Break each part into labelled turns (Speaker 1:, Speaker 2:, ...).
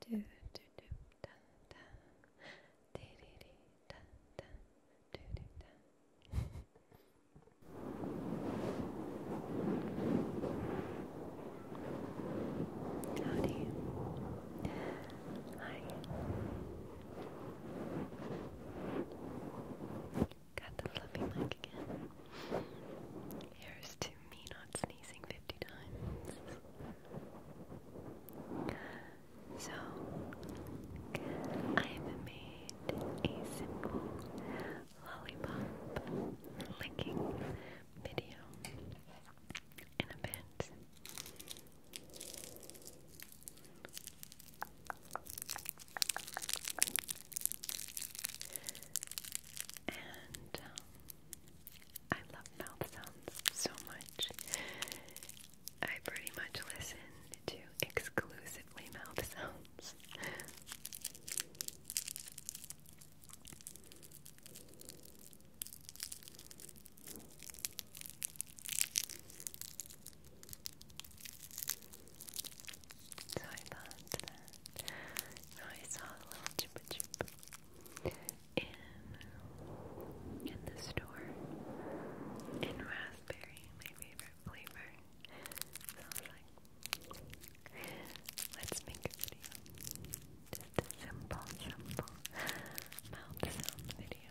Speaker 1: do do do da da dee dee dee da da do do da Howdy Hi Got the fluffy mic again. Here's to to me not sneezing 50 times. So, I've made a simple lollipop licking video in a bit. And um, I love mouth sounds so much. I pretty much listen to exclusively mouth sounds. So I thought that Oh, I saw a little chupa chup in, in the store in raspberry, my favorite flavor. So I was like, let's make a video. Just a simple, simple mouth sound video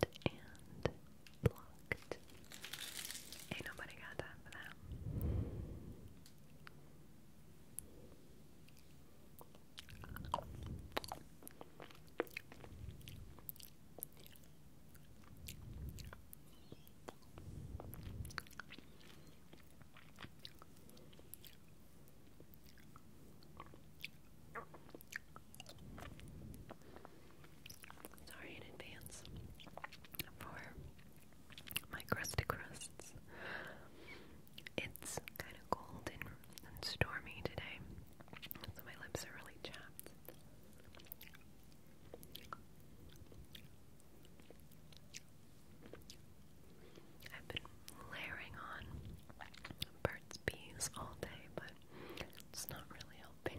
Speaker 1: Banned and Ain't nobody got time for that. Sorry in advance for my crusty crusts. It's kind of cold and, stormy today, so my lips are really chapped layering on Burt's Bees all day, but it's not really helping.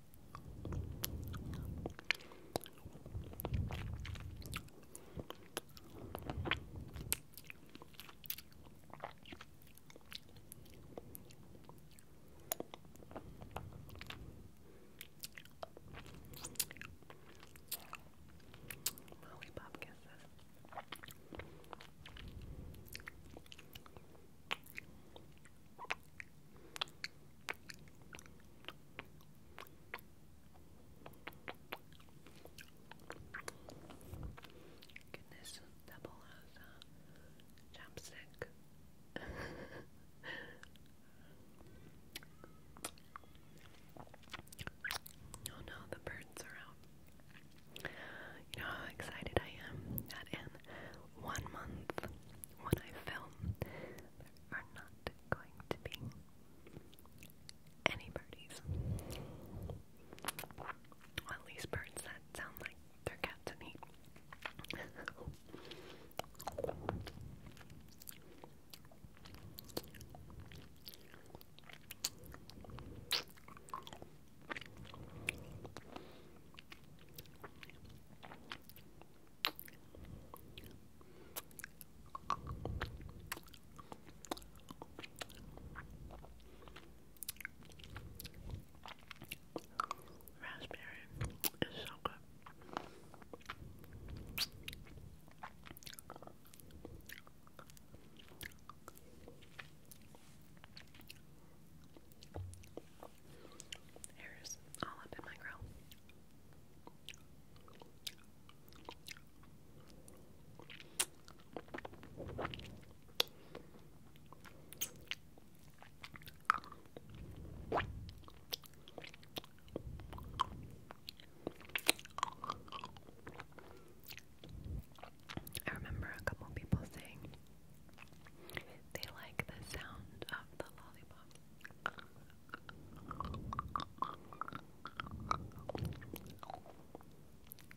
Speaker 1: Molly Bob kisses. Goodness, double uh, has a oh no, the birds are out. You know how excited I am that in one month when I film, are not going to be any birdies. at least birds that sound like they're cat to me. Raspberry is so good. Hairs all I remember a couple people saying they like the sound of the lollipop.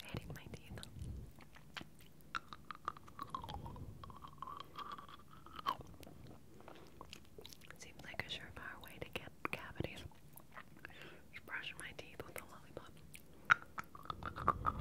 Speaker 1: Hitting my teeth. Seems like a surefire way to get cavities. Just my teeth with a lollipop.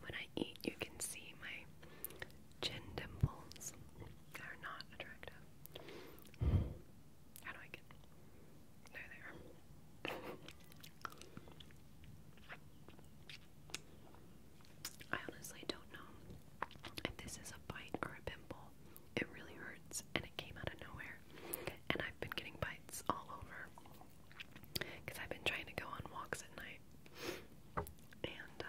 Speaker 1: When I eat, you can see my Chin dimples are not attractive. How do I get? There I honestly don't know if this is a bite or a pimple. It really hurts and it came out of nowhere. And I've been getting bites all over because I've been trying to go on walks at night night. And, um,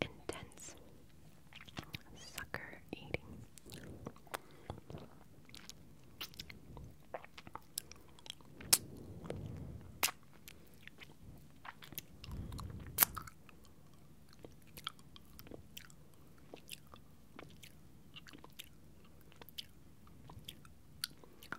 Speaker 1: intense sucker eating.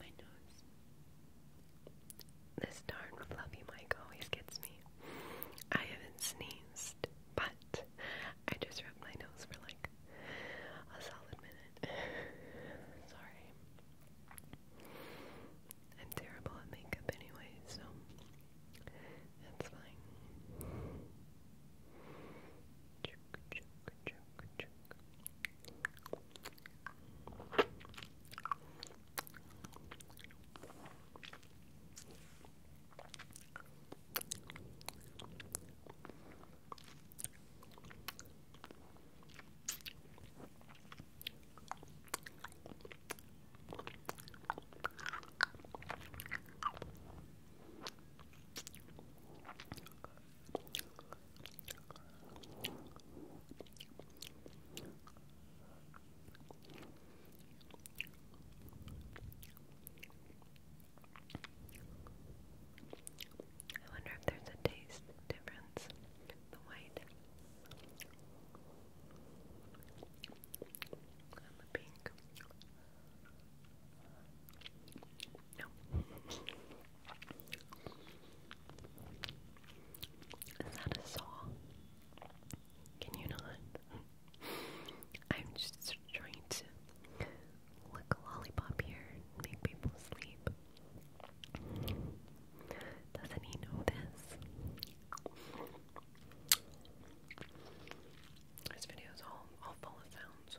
Speaker 1: My nose. This darn fluffy mic always gets me. I haven't sneezed, but I just rubbed my nose for like a solid minute. Sorry. I'm terrible at makeup anyway, so that's fine. I wonder if there's a taste difference the white and the pink. Is that a saw? Can you not? I'm just trying to look a lollipop here and make people sleep. Doesn't he know this? This video is all, all full of sounds.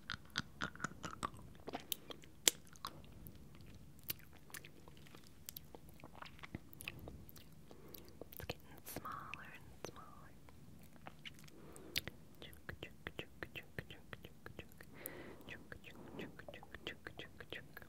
Speaker 1: It's getting smaller and smaller. Chook, chook, chook, chook, chook, chook, chook. Chook, chook, chook, chook, chook, chook, chook.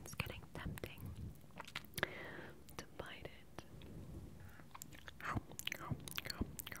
Speaker 1: It's getting tempting to bite it. Go, go, go, go, go, go.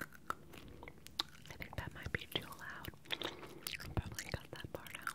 Speaker 1: I think that might be too loud. probably got that part out.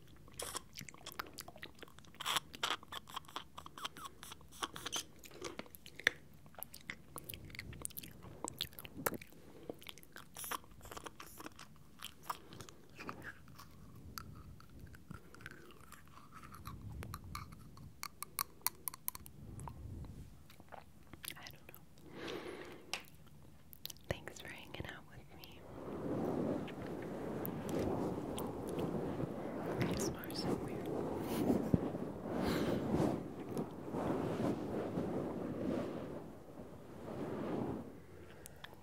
Speaker 1: I don't know. Thanks for hanging out with me. These are so weird.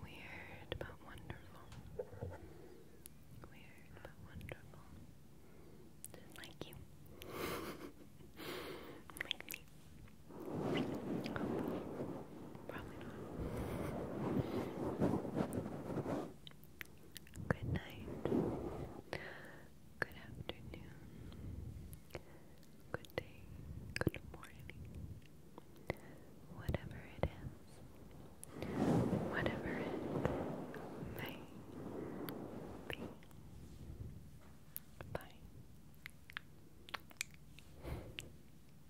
Speaker 1: Weird but wonderful. Weird but wonderful. Like you. Probably not. Good night. Good afternoon. Good day. Good morning. Whatever it is. Whatever it may be. Bye.